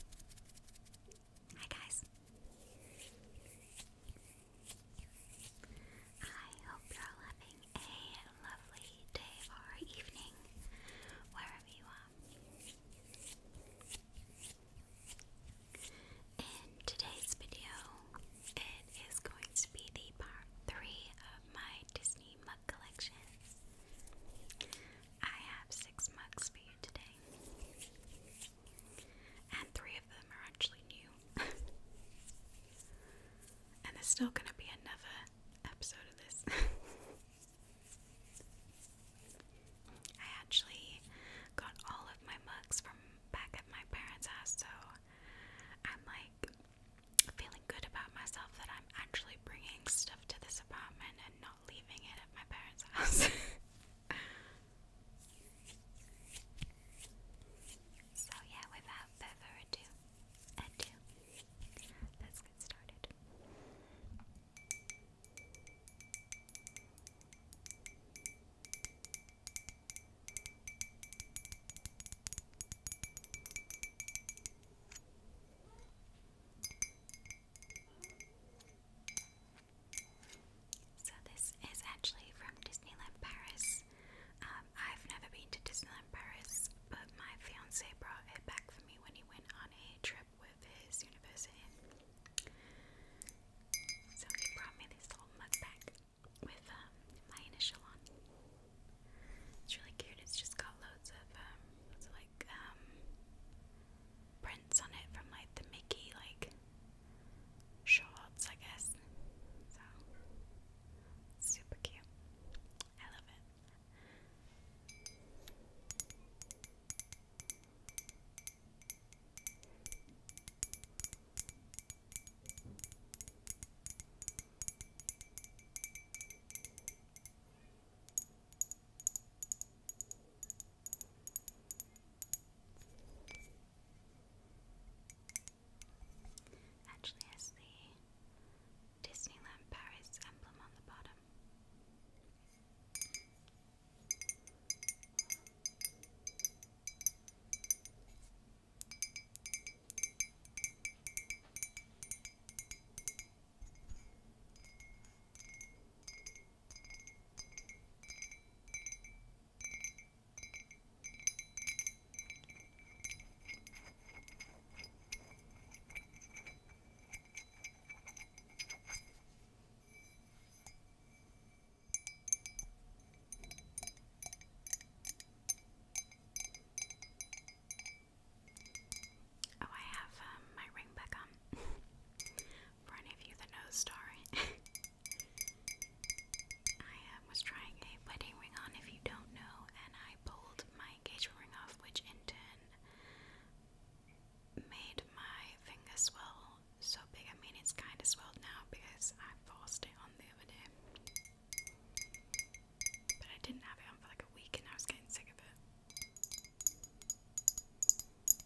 Hi guys. I hope you're all having a lovely day or evening wherever you are. In today's video, it is going to be the part 3 of my Disney mug collection. I have six mugs you today. And three of them are actually new. and there's still going to be another episode of this. I actually got all of my mugs from back at my parents' house, so I'm like feeling good about myself that I'm actually bringing stuff to this apartment and not leaving it at my parents' house. so, yeah, without further ado, let's get started. So this is actually from Disneyland Paris. Um, I've never been to Disneyland Paris, but my fiance brought it back for me when he went on a trip with his university. So he brought me this little mug bag with um, my initial on. It's really cute. It's just got loads of um, like um prints on it from like the Mickey like shorts, I guess. So super cute. I love it. Actually has the Disneyland Paris emblem on the bottom. Oh, I have um, my ring back on. for any of you that know the I uh, was trying a wedding ring on, if you don't know, and I pulled my engagement ring off, which in turn made my finger swell so big. I mean, it's kind of swelled now because I forced it on the other day. But I didn't have it on for like a week and I was getting sick of it.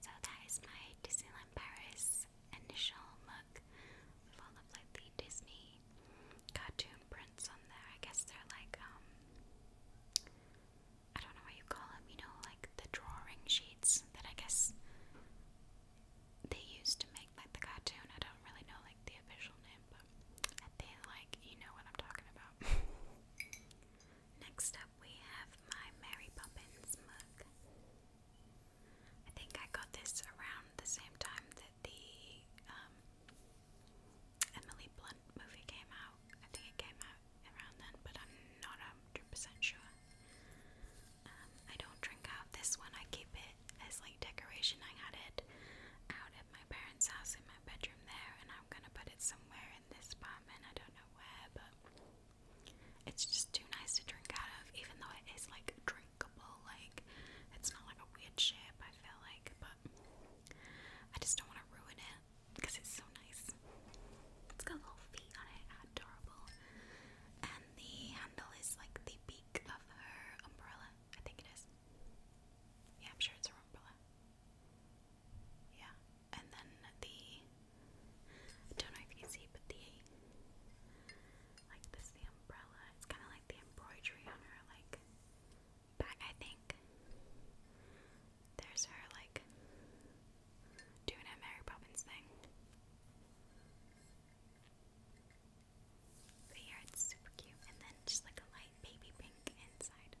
So that is my Disneyland Paris initial look, with of like the Disney cartoon prints on there. I guess they're like um, I don't know what you call them, you know, like the drawing sheets that I guess they used to make like the cartoon. I don't really know like the official name, but I like you know what I'm talking about out. Next up, we have my Mary Poppins mug. I think I got this around the same time that the um, Emily Blunt movie came out. I think it came out around then, but I'm not 100% sure. Um, I don't drink out this one, I keep it as like decoration. I had it out at my parents' house in my bedroom there, and I I'm gonna put it somewhere in this apartment. I don't know where, but it's just too nice to drink out of, even though it is like drinkable. Like, it's not like a weird shape, I feel like, but I just don't want to ruin it because it's so nice. It's got little feet on it, adorable. And the handle is like the beak of her umbrella. I think it is. Yeah, I'm sure it's her umbrella. Yeah, and then the don't know if you can see, but the like this the umbrella. It's kind of like the embroidery on her like back. I think there's her like doing a Mary Poppins thing. But yeah, it's super cute. And then just like a light baby pink inside.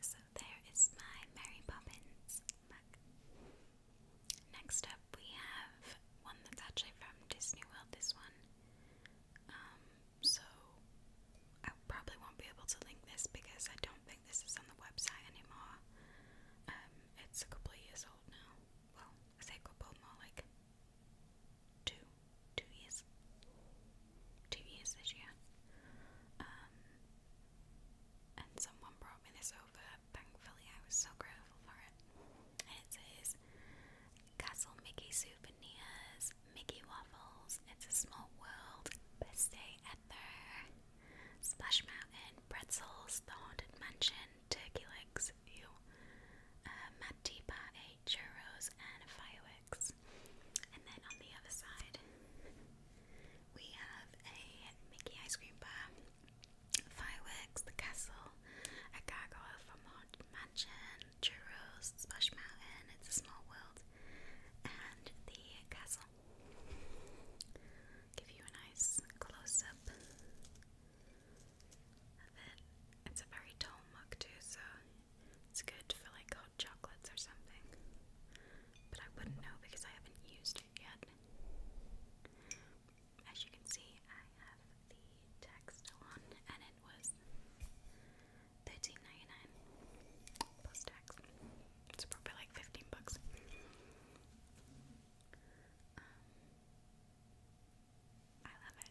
So there is my Mary Poppins mug. Next up, we have have one that's actually from Disney World, this one. Um, so I probably won't be able to link this because I don't think this is on the website anymore. Um, it's a couple years old now. Well, a couple more like two, two years, two years this year. Um, and someone brought me this over. Thankfully, I was so grateful for it. it says Castle Mickey souvenirs, Mickey waffles, It's a Small World, Best Day Ever, Splash Mountain, Pretzels, The Haunted Mansion, Turkey Legs, Ew, uh, Mad Tea Churros, and Fireworks. And then on the other side, we have a Mickey ice cream bar. Fireworks, the castle, a gargoyle from Haunted Mansion, churros, Splash Mountain, It's a Small World, and the castle. Give you a nice close up of it. It's a very tall mug too, so it's good for like hot chocolates or something. But I wouldn't know because I haven't used it yet as you can see, I have the tag still on, and it was $13.99 plus tax. It's probably like 15 bucks. Um, I love it.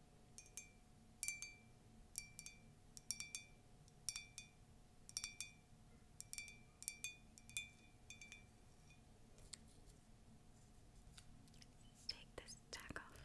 Take this tack off.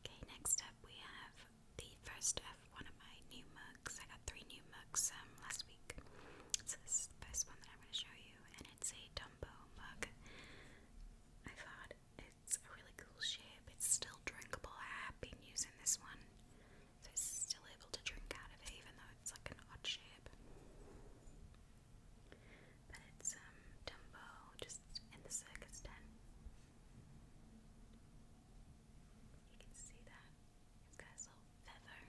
Okay, next up we have the first of one of my new mugs. I got three new mugs um, last week. this is the first one that I'm going to show you, and it's a Dumbo mug. I thought it's a really cool shape. It's still drinkable. I have been using this one. So it's still able to drink out of it even though it's like an odd shape. But it's um, Dumbo just in the circus den. You can see that. It's got feather.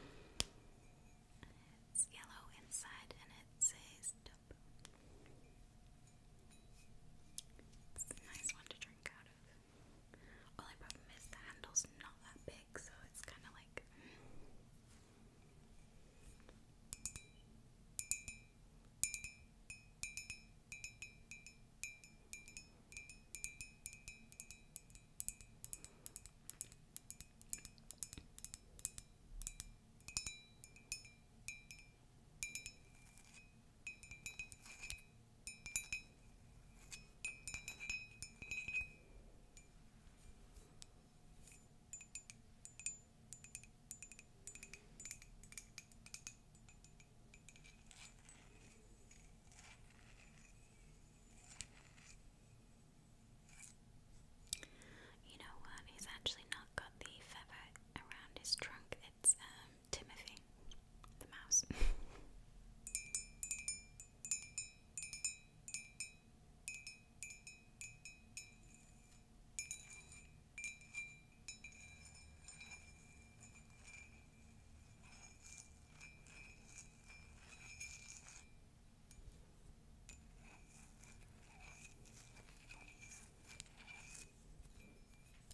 it's yellow inside and it says do cup. It's a nice one to drink out of. Only problem is the handle's not that big, so it's kind of like. You know what? He's actually not got the feather around his trunk. It's um Timothy the mouse.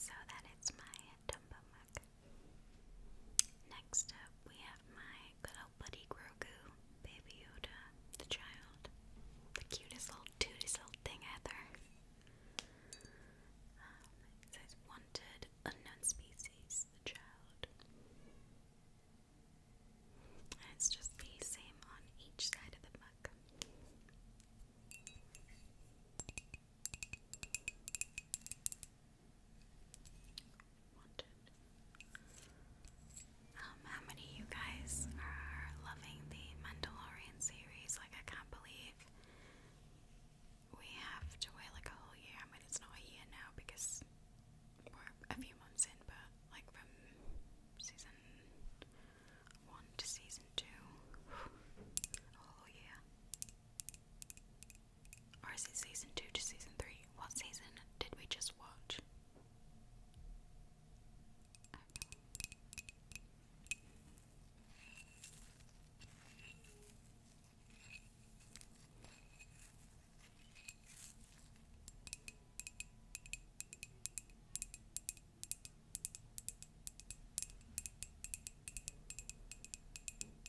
So that is my Dumbo mug. Next up, we have my good old buddy Grogu, Baby Yoda, the child. The cutest little, tootest little thing ever. Um, it says, Wanted, unknown species, the child. it's just the same on each side of the mug. Um, how many you guys are loving the Mandalorian series? Like, I can't believe we have to wait like a whole year. I mean, it's not a year now because we're a few months in, but like from season one to season two, a whole year. Or is it season 2 to season 3? What season did we just watch?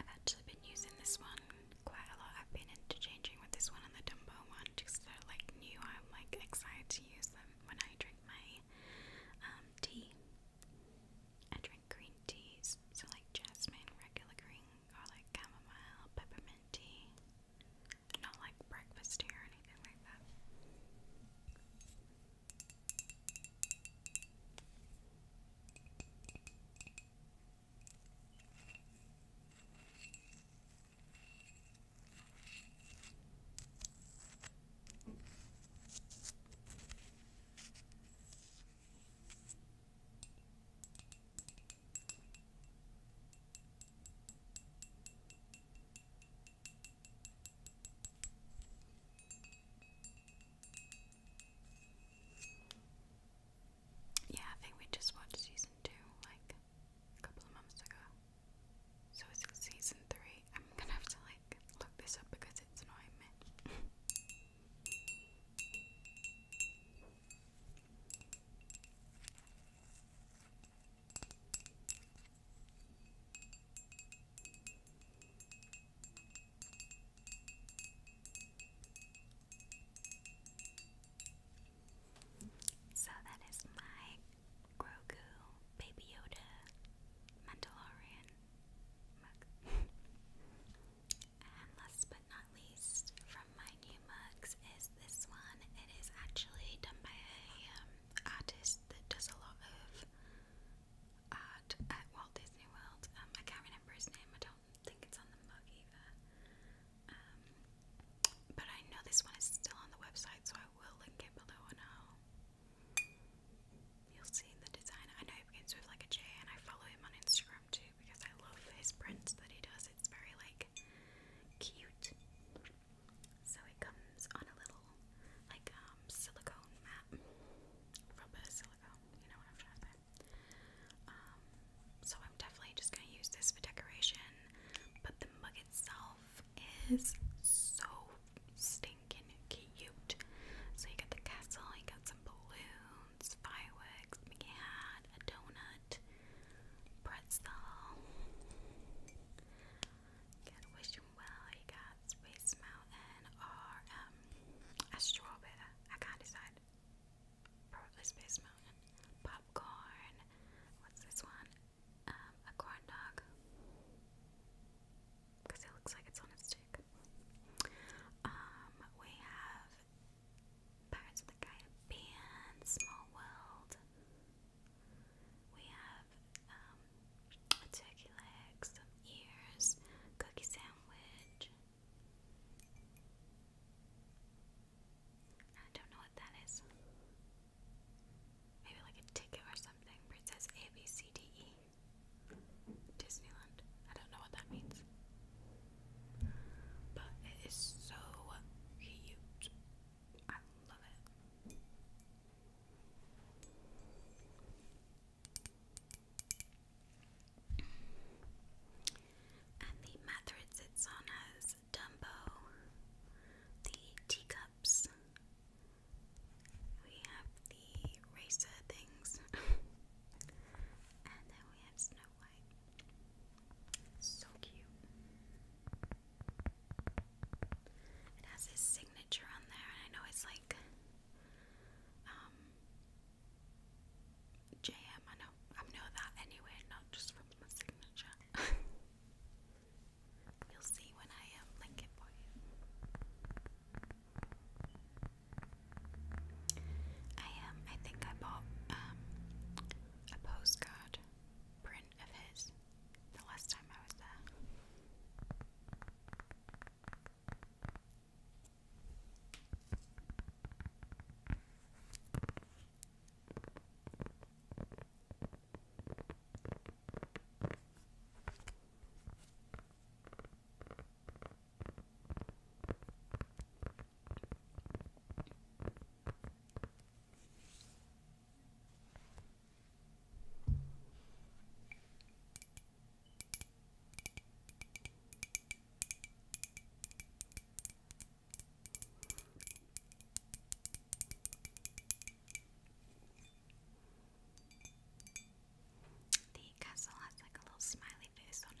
I've actually been using this one quite a lot. I've been interchanging with this one and the Dumbo one because they're like new. I'm like excited to use them when I drink my um, tea. I drink green teas, so like jasmine, regular green garlic chamomile, peppermint Not like breakfast tea or anything like that. Yeah, I think we just watched season two like a couple of months ago. So it's season three. I'm gonna have to like look this up because it's annoying So that is my Grogu Baby Yoda Mandalorian and last but not least, from from my new mugs is this one. It is actually done by a um, artist that does a lot of art at Walt Disney World. Um, I can't remember his name. I don't think it's on the mug either. Um, but I know this one is still on the website, so I will link it below and I'll you'll see the designer. I know it begins with like a J, and I follow him on Instagram too because I love his prints that he does. It's very like cute. So it comes on a little like um, silicone mat. Rubber silicone, you know what I'm trying to say. Um, so I'm definitely just gonna use this for decoration. But the mug itself is so stinking cute. So you got the castle, you got some balloons, fireworks, Mickey a donut, pretzel. Can wish him well. He got Space Mountain or strawberry. I can't decide. Probably Space Mountain. Popcorn. What's this one? Um, a corn dog. Because it looks like it's on a stick. Um, we have Pirates of the Caribbean, Small World, we have um, a turkey leg, some ears, cookie sandwich. I don't know what that is. Maybe like a ticket or something it says A, B, C, D, E. Disneyland. I don't know what that means. But it is so cute. And the mat sits on has Dumbo, the teacups. We have the racer things. and then we have Snow so cute. It has his signature on there, and I know it's like um JM. I know I know that anyway, not just from the signature. You'll see when I um, link it for you. I um I think I bought um a postcard print of his the last time I was there. The castle has like a little smiley face on it.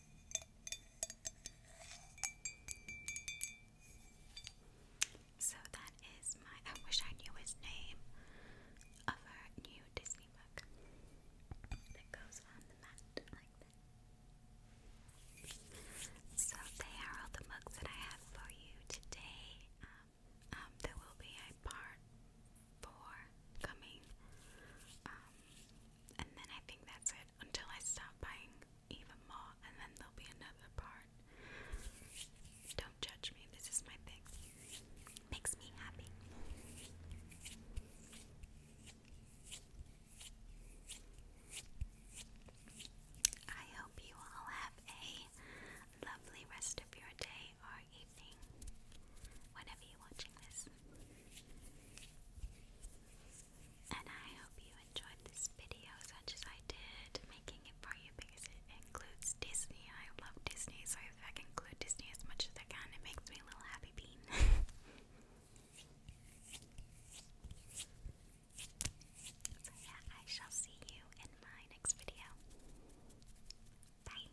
So that is my. I wish I knew his name of our new Disney book that goes on the mat like that. So they are all the books that I have for you today. Um, um, there will be a part four coming, um, and then I think that's it until I stop buying even more, and then there'll be another part. Don't judge me, this is my thing. Makes me happy. I hope you all have a lovely rest of your day or evening, whenever you're watching this. And I hope you enjoyed this video as much as I did making it for you because it includes Disney. I love Disney, so if I can include Disney as much as I can, it makes me a little happy bean. so yeah, I shall see you in my next video. Bye.